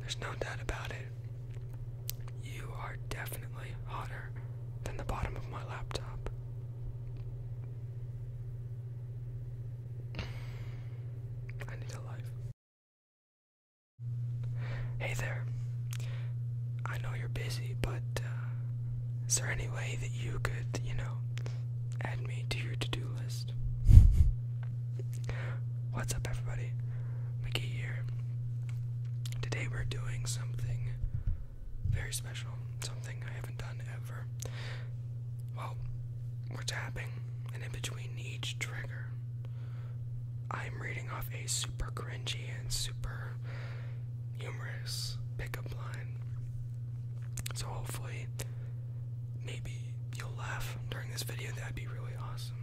There's no doubt about it. You are definitely hotter than the bottom of my laptop. I need a life. Hey there. I know you're busy, but uh, is there any way that you could, you know, add me to your to do list? What's up, everybody? Mickey here. Today we're doing something very special, something I haven't done ever. Well, we're tapping, and in between each trigger, I'm reading off a super cringy and super humorous pickup line. So hopefully maybe you'll laugh during this video, that'd be really awesome.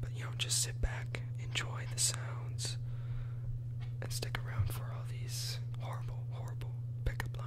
But you know, just sit back, enjoy the sounds, and stick around for all these horrible, horrible pickup lines.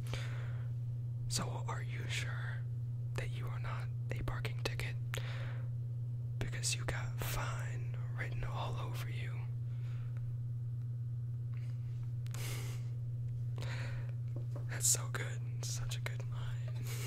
So, are you sure that you are not a parking ticket? Because you got fine written all over you. That's so good. Such a good line.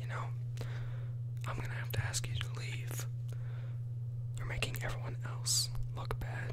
You know, I'm gonna have to ask you to leave. You're making everyone else look bad.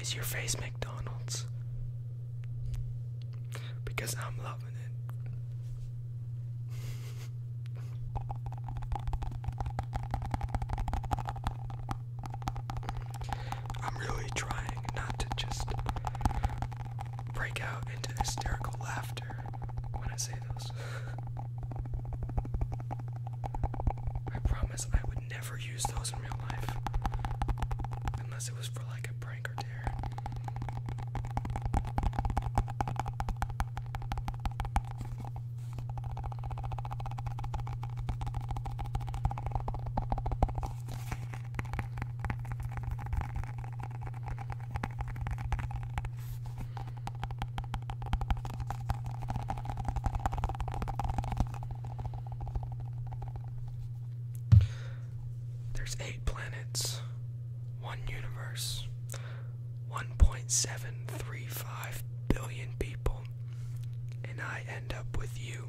Is your face McDonald's? Because I'm not I'm really trying not to just break out into hysterical laughter when I say those. I promise I would never use those in real life unless it was for like a prank or dare. There's eight planets, one universe, 1.735 billion people, and I end up with you.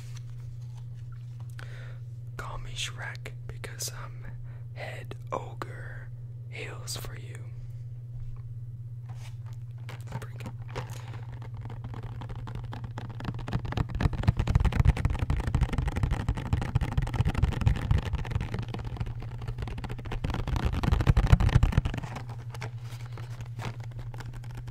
Call me Shrek because I'm head ogre Hails for you.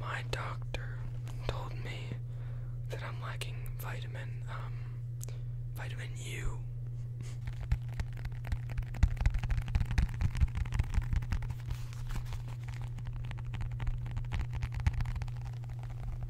My doctor told me that I'm lacking vitamin um, vitamin U.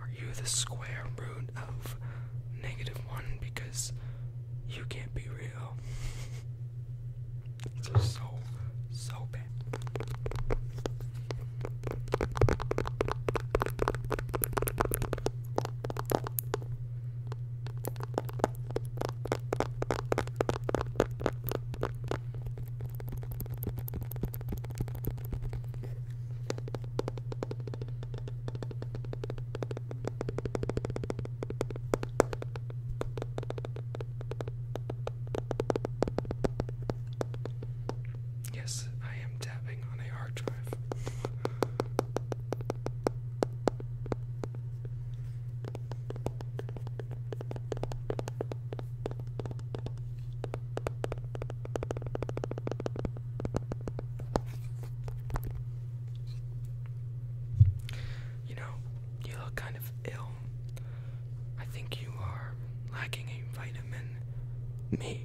Are you the square root of negative one because you can't be real? so so bad. Yes, I am tapping on a hard drive. You know, you look kind of ill. I think you are lacking a vitamin me.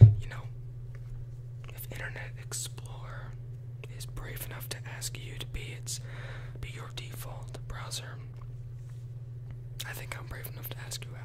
You know, if Internet Explorer is brave enough to ask you to be its be your default browser, I think I'm brave enough to ask you out.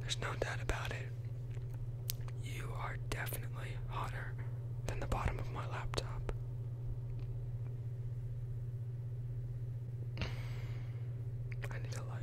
There's no doubt about it. You are definitely hotter than the bottom of my laptop. I need a life.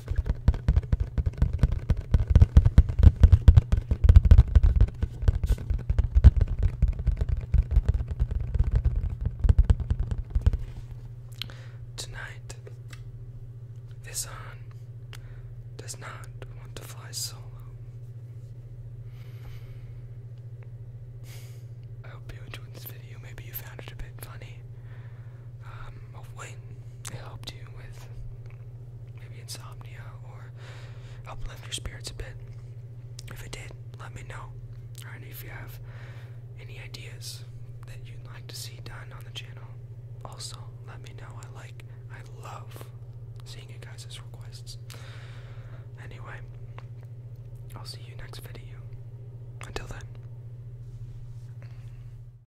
Tonight, this on does not want to fly solo. I hope you enjoyed this video. Maybe you found it a bit funny. Um, hopefully, it helped you with maybe insomnia or helped lift your spirits a bit. If it did, let me know. And if you have any ideas that you'd like to see done on the channel, also let me know. I like, I love seeing you guys' requests. Anyway, I'll see you next video. Until then.